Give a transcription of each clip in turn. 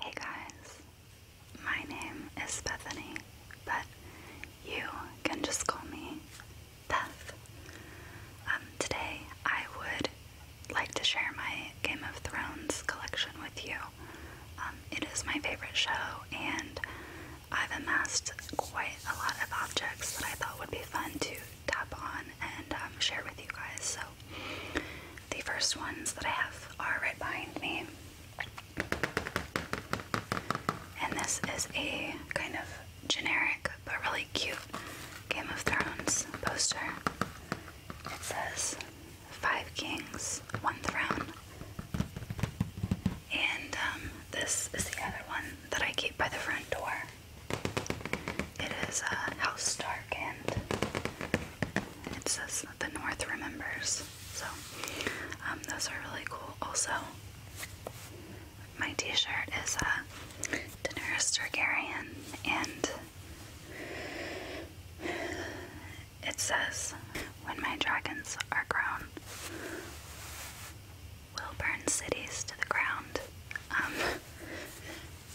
Hey guys, my name is Bethany, but you can just call me Beth. Um, today I would like to share my Game of Thrones collection with you. Um, it is my favorite show, and I've amassed quite a lot of objects that I thought would be fun to tap on and um, share with you guys. So the first ones that I have are right behind me. And this is a kind of generic but really cute Game of Thrones poster. It says Five Kings, One Throne. And um, this is the other one that I keep by the front door. It is a House Stark, and it says that the North remembers. So, um, those are really cool. Also, my T-shirt is a Daenerys Targaryen, and it says, "When my dragons are grown, will burn cities to the ground." Um,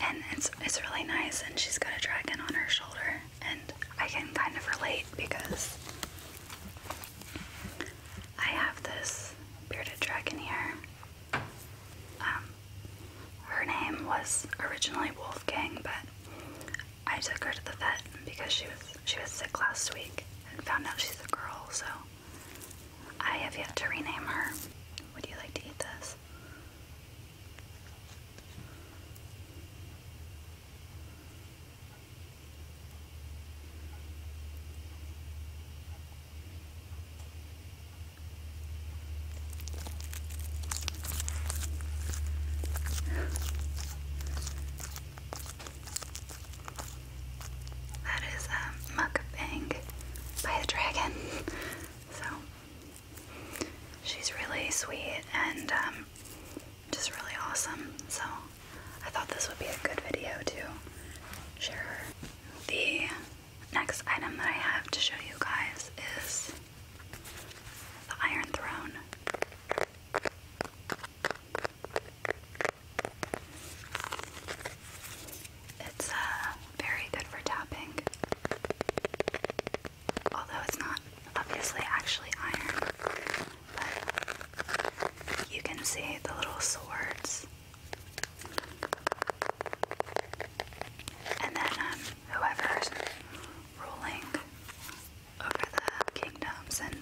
and it's it's really nice and she's got a dragon on her shoulder and I can kind of relate because I have this bearded dragon here. Um, her name was originally Wolfgang, but I took her to the vet because she was she was sick last week and found out she's a girl, so I have yet to rename her. Would you like to eat this? this. That is a um, mukbang by a dragon. So she's really sweet and um, just really awesome. So I thought this would be a good video to share The next item that I have to show you guys is the Iron Throne. It's uh, very good for tapping. Although it's not obviously actually iron, but you can see the little swords. And then um, whoever's ruling over the kingdoms and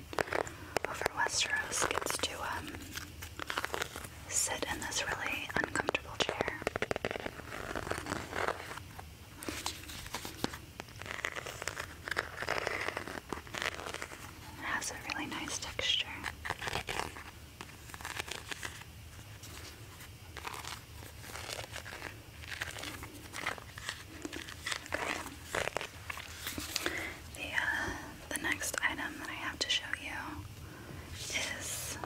over Westeros gets to um, sit in this really uncomfortable chair. It has a really nice texture. Okay. The, uh, the next item that I have to show you is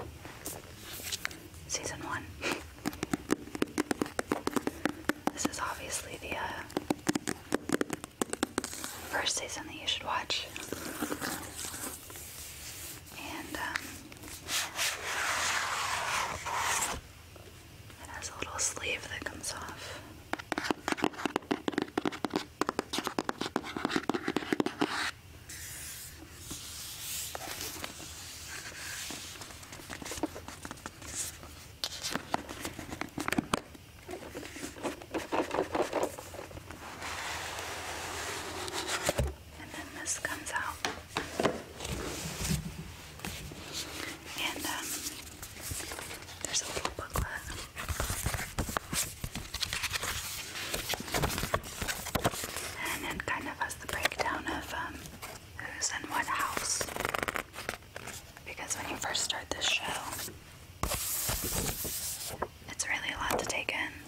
season one. this is obviously the uh, first season that you should watch. And um, it has a little sleeve that comes off. And then this comes out. And um, there's a little booklet. And it kind of has the breakdown of um, who's in what house. Because when you first start this show, it's really a lot to take in.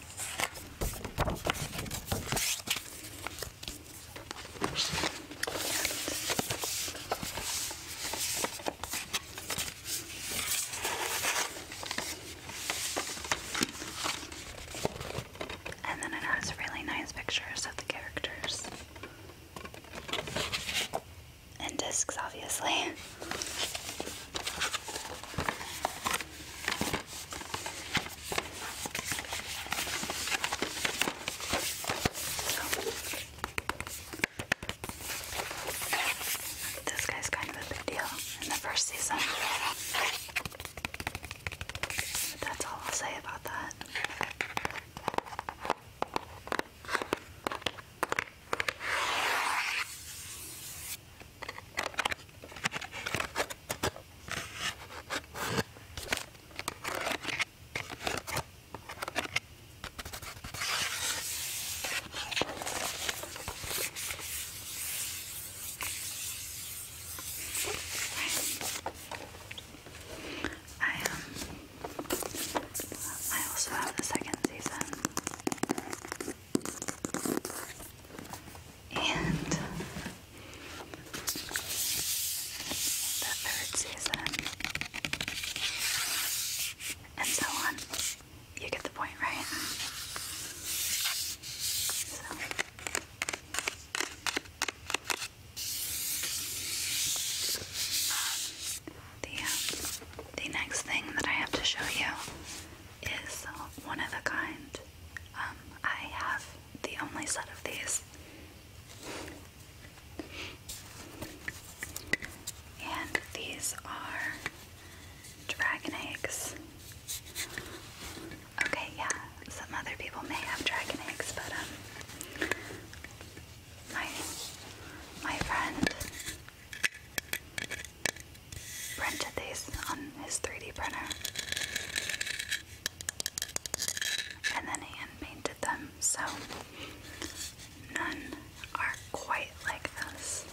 And then it has really nice pictures of the characters. And discs, obviously. this guy's kind of a big deal in the first season. That's all I'll say about that. I am. Um, I also have the second season. And the third season, and so on. You get the point, right? The, um, the next thing that I have to show you is one of a kind. Um, I have the only set of these. And these are dragon eggs. Okay, yeah, some other people may have dragon eggs, but um, my my friend printed these on his 3D printer, and then hand painted them, so none are quite like this.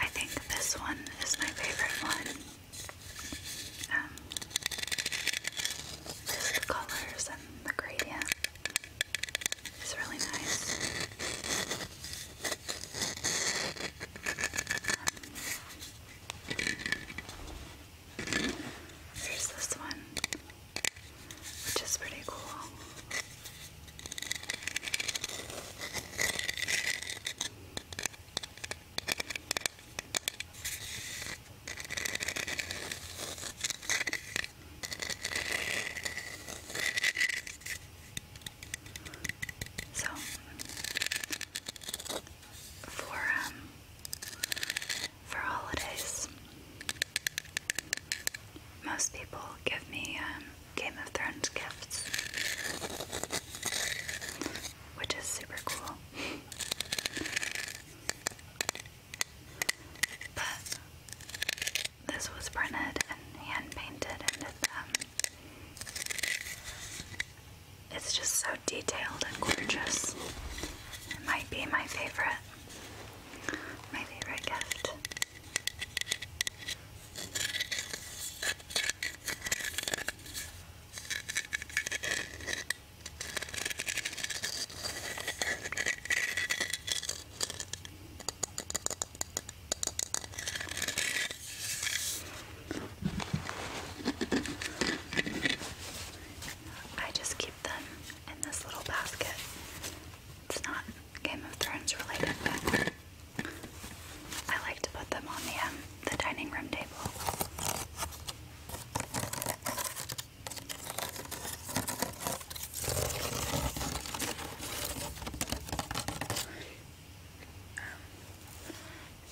I think this one is my favorite one um, the colors and the gradient is really nice. Um, here's this one, which is pretty cool. So for um for holidays most people give me um, Game of Thrones gifts which is super cool. but this was printed and hand painted, and um, it's just so detailed and gorgeous. It might be my favorite, my favorite gift. I just keep them in this little basket. It's not Game of Thrones related, but I like to put them on the um, the dining room table.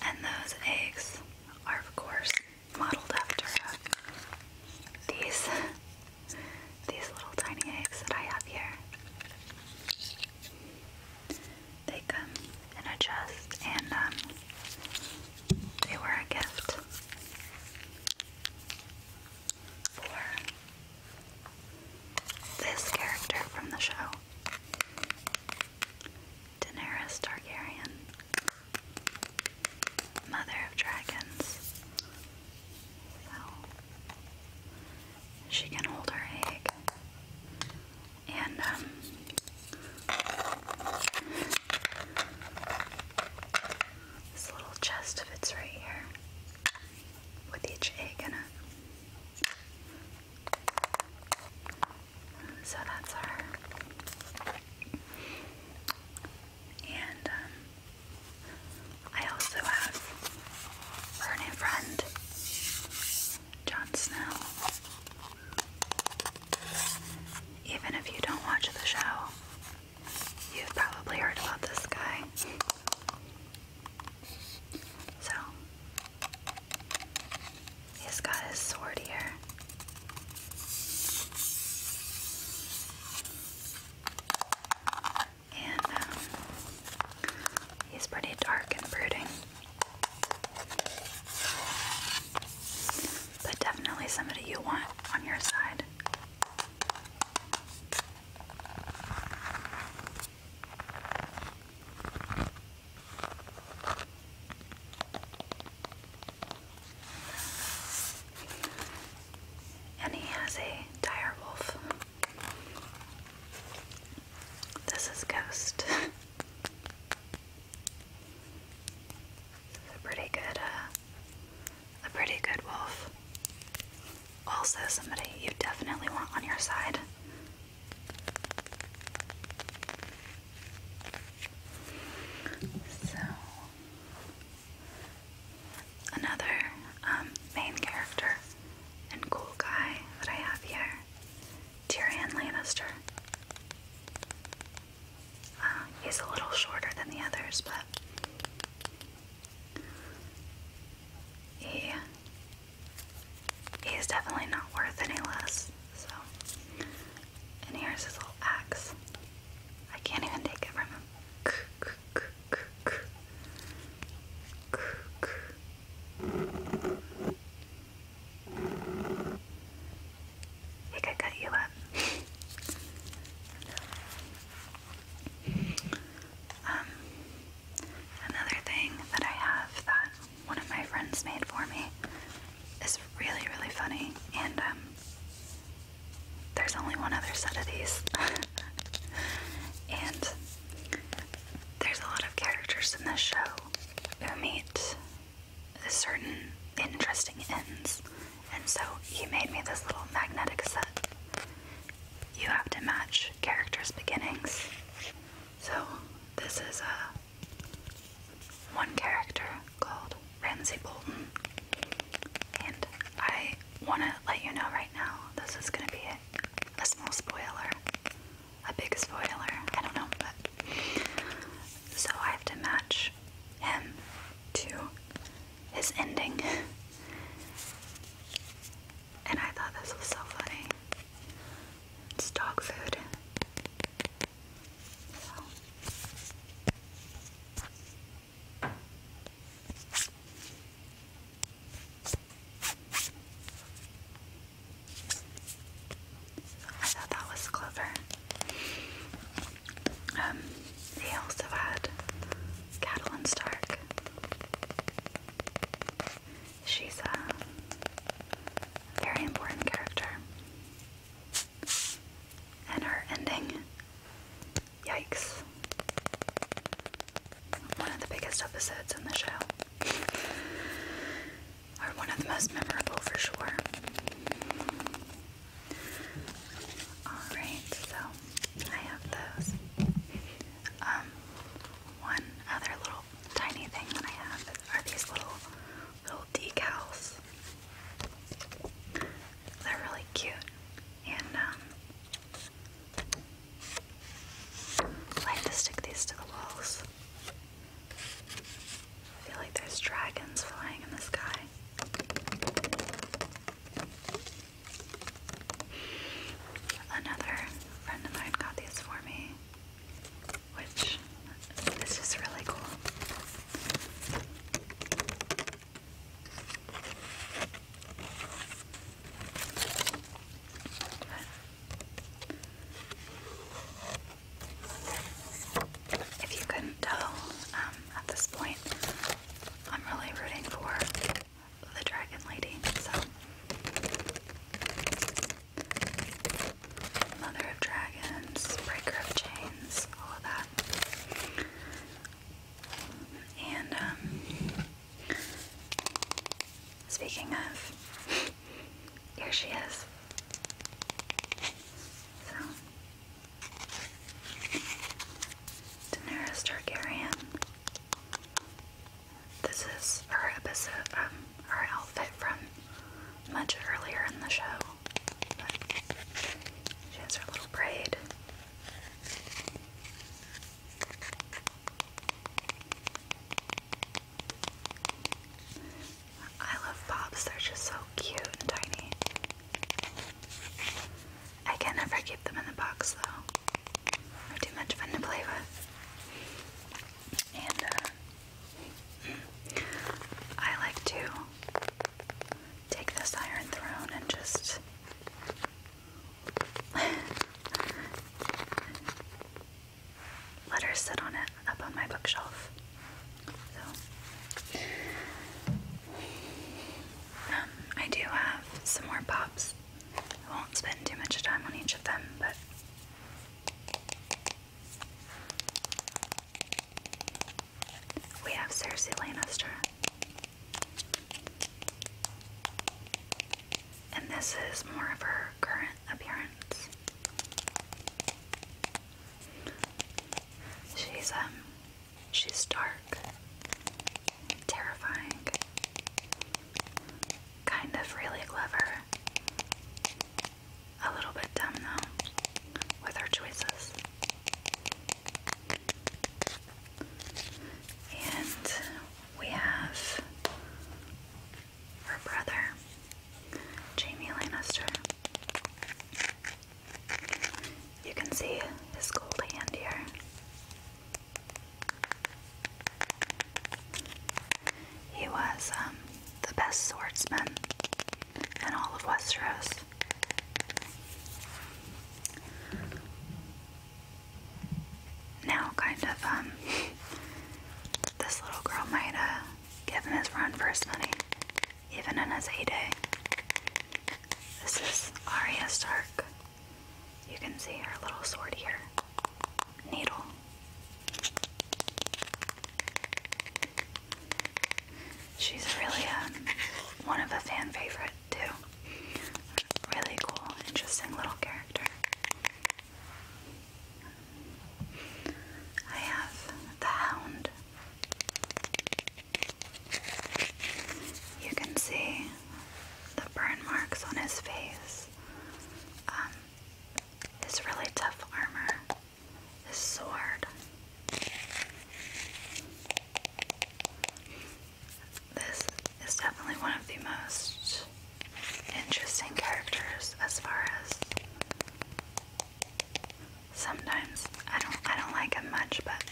And those eggs are, of course, modeled after uh, these these little tiny eggs that I have here. They come in a and um, they were a gift for this character from the show, Daenerys Targaryen, Mother of Dragons. she can hold her egg and um, this little chest fits right here with each egg in it. So that's our. And um, I also have her new friend Jon Snow. Even if you don't watch the show, you've probably heard about this guy. So, he's got his sword here. And um, He's pretty dark and brooding. But definitely somebody you want on your side. And he has a dire this is Ghost. a pretty good, uh, a pretty good wolf. Also, somebody you definitely want on your side. So, another um, main character and cool guy that I have here Tyrion Lannister. Uh, he's a little shorter than the others, but he, he's definitely not worth any less. So, and here's his little axe. I can't even take it from him cook. I think um, another thing that I have that one of my friends made for me is really, really funny, and um, there's only one other set of these, and there's a lot of characters in this show who meet certain interesting ends, and so he made me this little magnetic set. You have to match characters' beginnings. So this is a uh, one character called Ramsey Bolton, and I want to let you know right now. This is going to be a, a small spoiler a big spoiler. I don't know, but so I have to match him to his ending. And I thought this was so funny. It's dog food. I thought that was clever. Um, they also had Catelyn Stark. She's uh, a very important character. And her ending. Yikes one of the biggest episodes in the show. or one of the most memorable for sure. Alright, so I have those. Um one other little tiny thing that I have are these little little decals. They're really cute and um I like to stick these to the walls. I feel like there's dragons flying in the sky. Another friend of mine got these for me, which is really cool. If you couldn't tell um, at this point, I'm really rooting for the Dragon Lady, so. Mother of Dragons, Breaker of Chains, all of that. And, um, Speaking of, here she is. So, Daenerys Targaryen. This is her episode, um, her outfit from much earlier in the show. she has her little braid. I love pops, they're just so cute and tiny. I can never keep them in the box though. They're too much fun to play with. And uh, I like to take this Iron Throne and just Let her sit on it up on my bookshelf. So, um, I do have some more pops. I won't spend too much time on each of them, but. We have Cersei Lannister and this is more of her current appearance. She's um she's dark, terrifying, kind of really clever, a little bit dumb though, with her choices. And we have her brother, Jamie Lannister. You can see his gold hand here. He was um, the best swordsman in all of Westeros now kind of um, this little girl might have uh, given his run for his money, even in his A day. This is Arya Stark. You can see her little sword here. Needle. She's really um, one of a fan favorite too. Really cool, interesting little character. I have the hound. You can see the burn marks on his face. Um, his really tough armor, his sword. This is definitely one of the most interesting characters as far as sometimes I don't I don't like him much but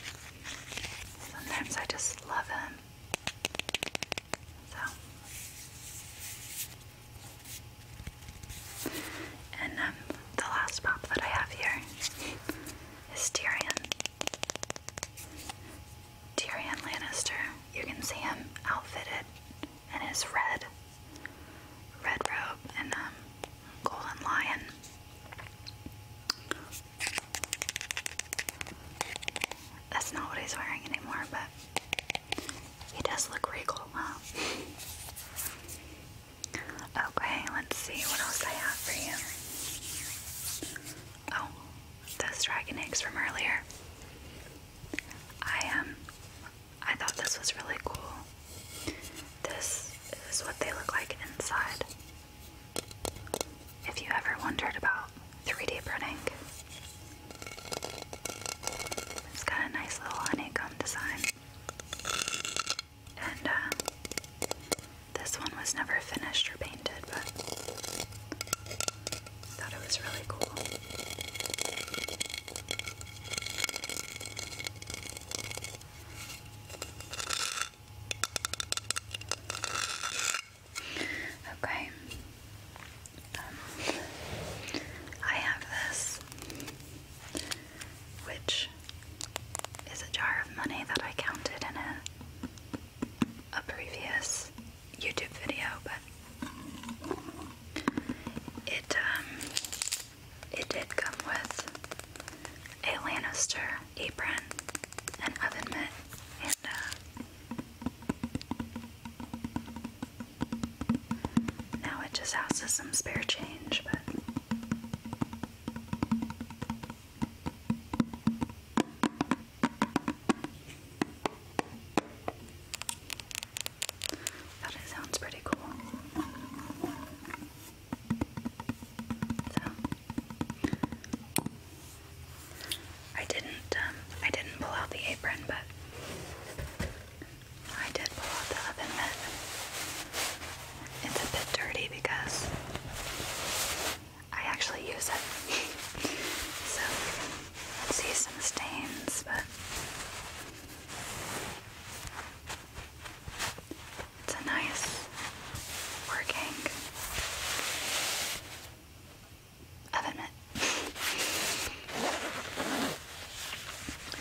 sometimes I just love him. So and um the last pop that I have here is Tyrion. Tyrion Lannister, you can see him outfitted in his red, red robe and um, golden lion. That's not what he's wearing anymore, but he does look regal, huh? Okay, let's see what else I have for you. Oh, those dragon eggs from earlier. I um I thought this was really cool. This is what they look like inside. If you ever wondered about 3D printing. It's got a nice little honeycomb design. And uh, this one was never finished or painted, but I Thought it was really cool. Okay. Um, I have this, which is a jar of money that I counted in a, a previous YouTube video, but it um, it did come with a Lannister apron, an oven mitt, and uh, now it just houses some spare change, but. That sounds pretty cool. I didn't um, I didn't pull out the apron, but I did pull out the oven mitt. It's a bit dirty because I actually use it. so I see some stains, but it's a nice working oven mitt.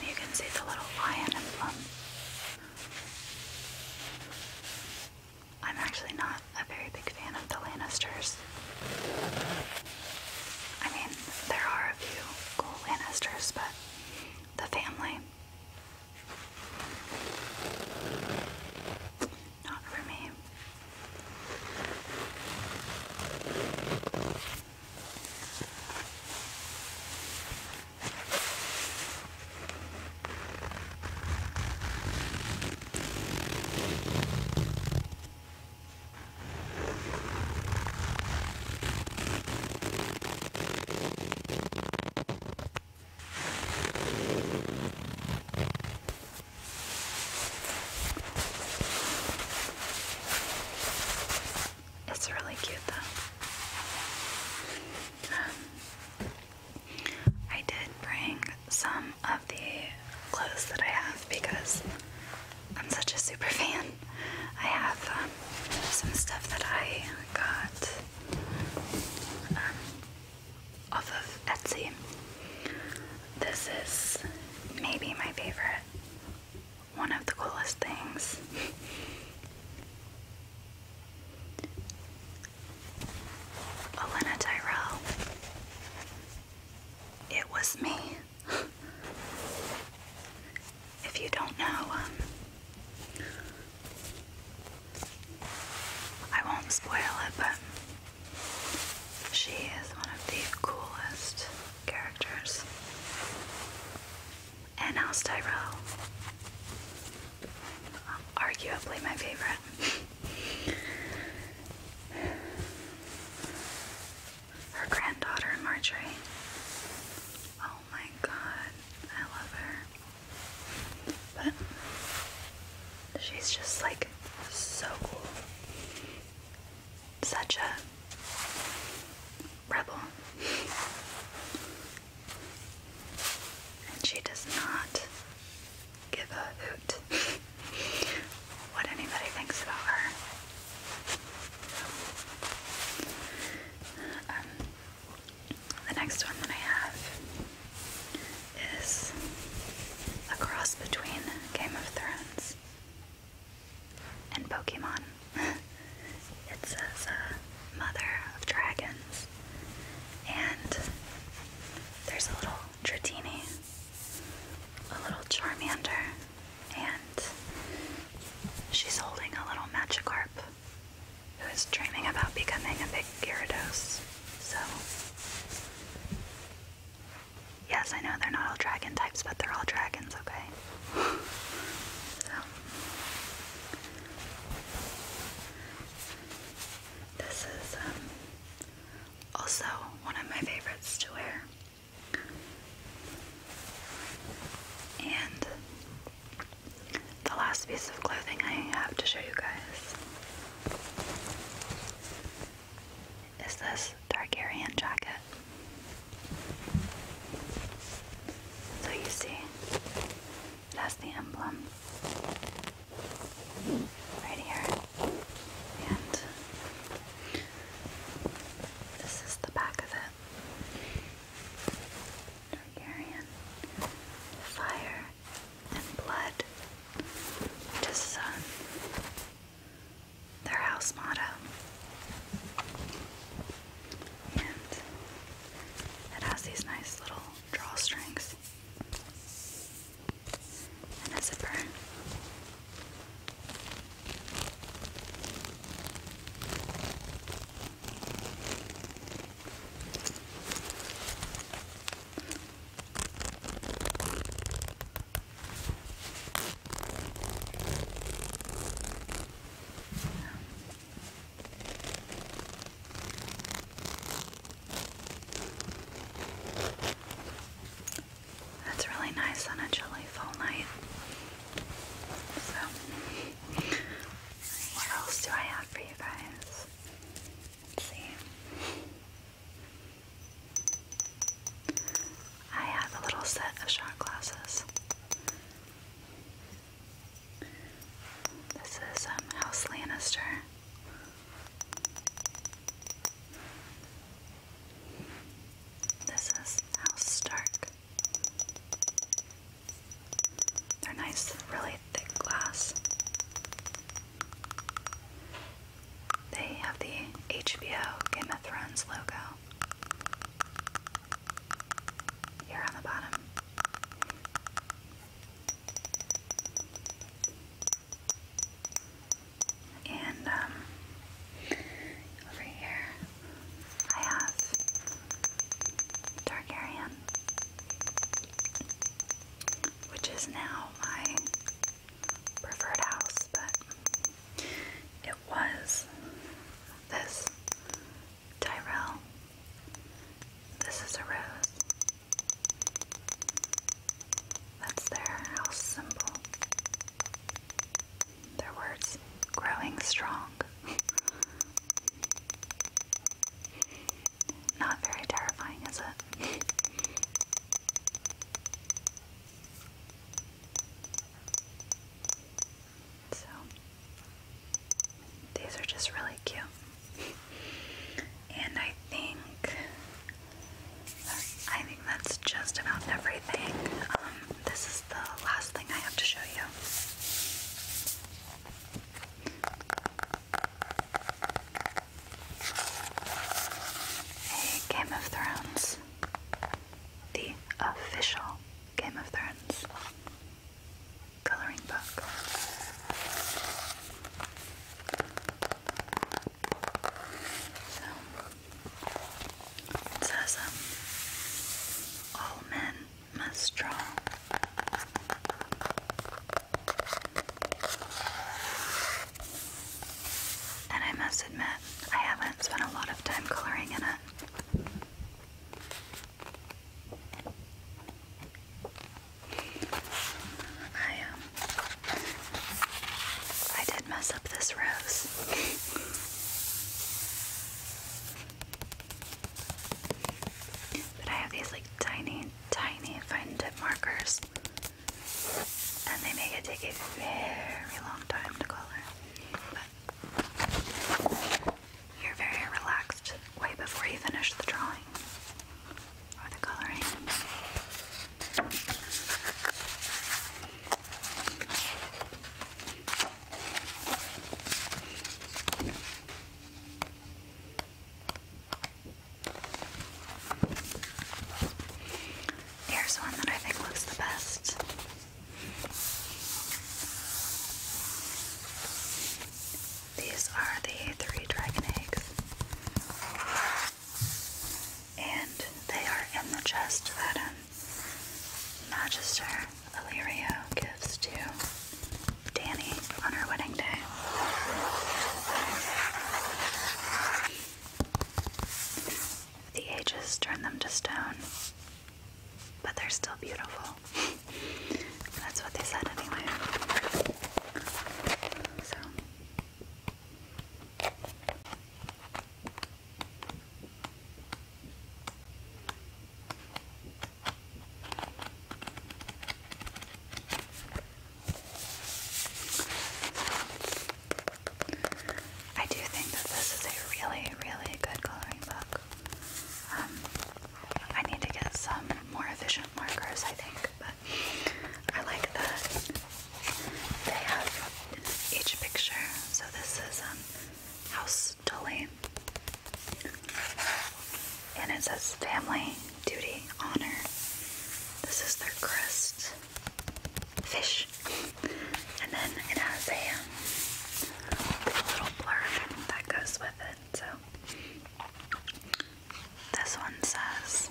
you can see the little lion emblem. I'm actually not a very big fan of the Lannisters. I mean, there are a few cool Lannisters, but the family. Not for me. It's really cute though. Um, I did bring some of the clothes that I have because I'm such a super fan. I have um, some stuff that I got um, off of Etsy. This is maybe my favorite. One of the coolest things. Elena Tyrell. It was me. if you don't know, um, I won't spoil it, but she is one of the coolest characters. And House Tyrell. Arguably my favorite. Her granddaughter, Marjorie. Oh my god, I love her. But she's just like so cool. Such a rebel. And she does not give a hoot what anybody thinks about her. Um, the next one that I have is a cross between Game of Thrones and Pokemon. it says uh, Mother of Dragons, and there's a little Dratini, a little Charmander, and she's holding a little Magikarp who is dreaming about becoming a big Gyarados. So, yes, I know they're not all dragon types, but they're all dragons, okay? so, this is um, also, one of my favorites to wear. And the last piece of clothing I have to show you guys is this Targaryen jacket. So you see, that's the emblem right here. And this is the back of it. Targaryen. Fire and blood. It is uh, their house motto. And it has these nice little drawstrings and a zipper. That's really nice on a chilly fall night. So, what else do I have for you guys? Let's see. I have a little set of shot glasses. This is um, House Lannister. This is House Stark. They're nice, really thick glass. They have the HBO Game of Thrones logo here on the bottom. And um, over here I have Targaryen, which is now my preferred house, but it was this Tyrell. This is a rose. That's their house symbol. Their words growing strong. Not very terrifying, is it? so, these are just really cute. And I think I think that's just about everything. Um, this is the last thing I have to show you. A Game of Thrones. The official Game of Thrones coloring book. So it says, um, all men must draw. And I must admit, I haven't spent a lot of time coloring in it. I um I did mess up this rose. but I have these like tiny, tiny fine tip markers. And they make it take a very long time to color. But you're very relaxed way before you finish the drawing or Here's one that I think looks the best. These are the three dragon eggs. And they are in the chest that um, Magister Illyrio gives to Danny on her wedding day. The ages turn them to stone, but they're still beautiful. That's what they said anyway. So. I do think that this is a really, really good coloring book. Um, I need to get some more efficient markers, I think, but I like that they have each picture. So this is um, House Tully, and it says Family, Duty, Honor. This is their crest fish, and then it has a, um, little blurb that goes with it. So this one says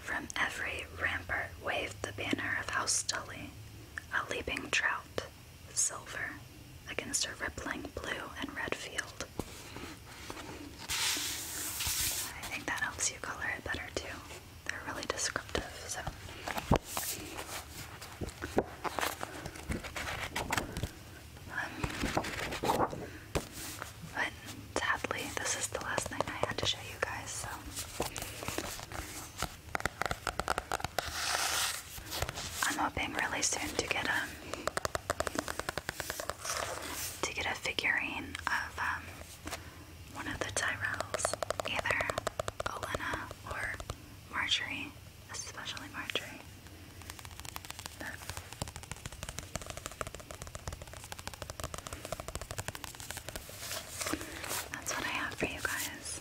From every rampart waved the banner of House Dully, a leaping trout, silver, against a rippling blue and red field. I think that helps you color it better too. They're really descriptive, so but sadly, this is the last thing I had to show you guys, so. I'm hoping really soon to get a um, to get a figurine of um, one of the Tyrells, either Olena or Marjorie especially Marjorie. That's what I have for you guys.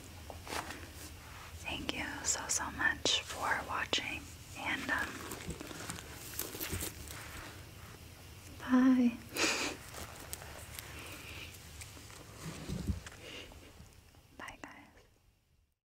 Thank you so so much for watching and um, bye. Bye guys.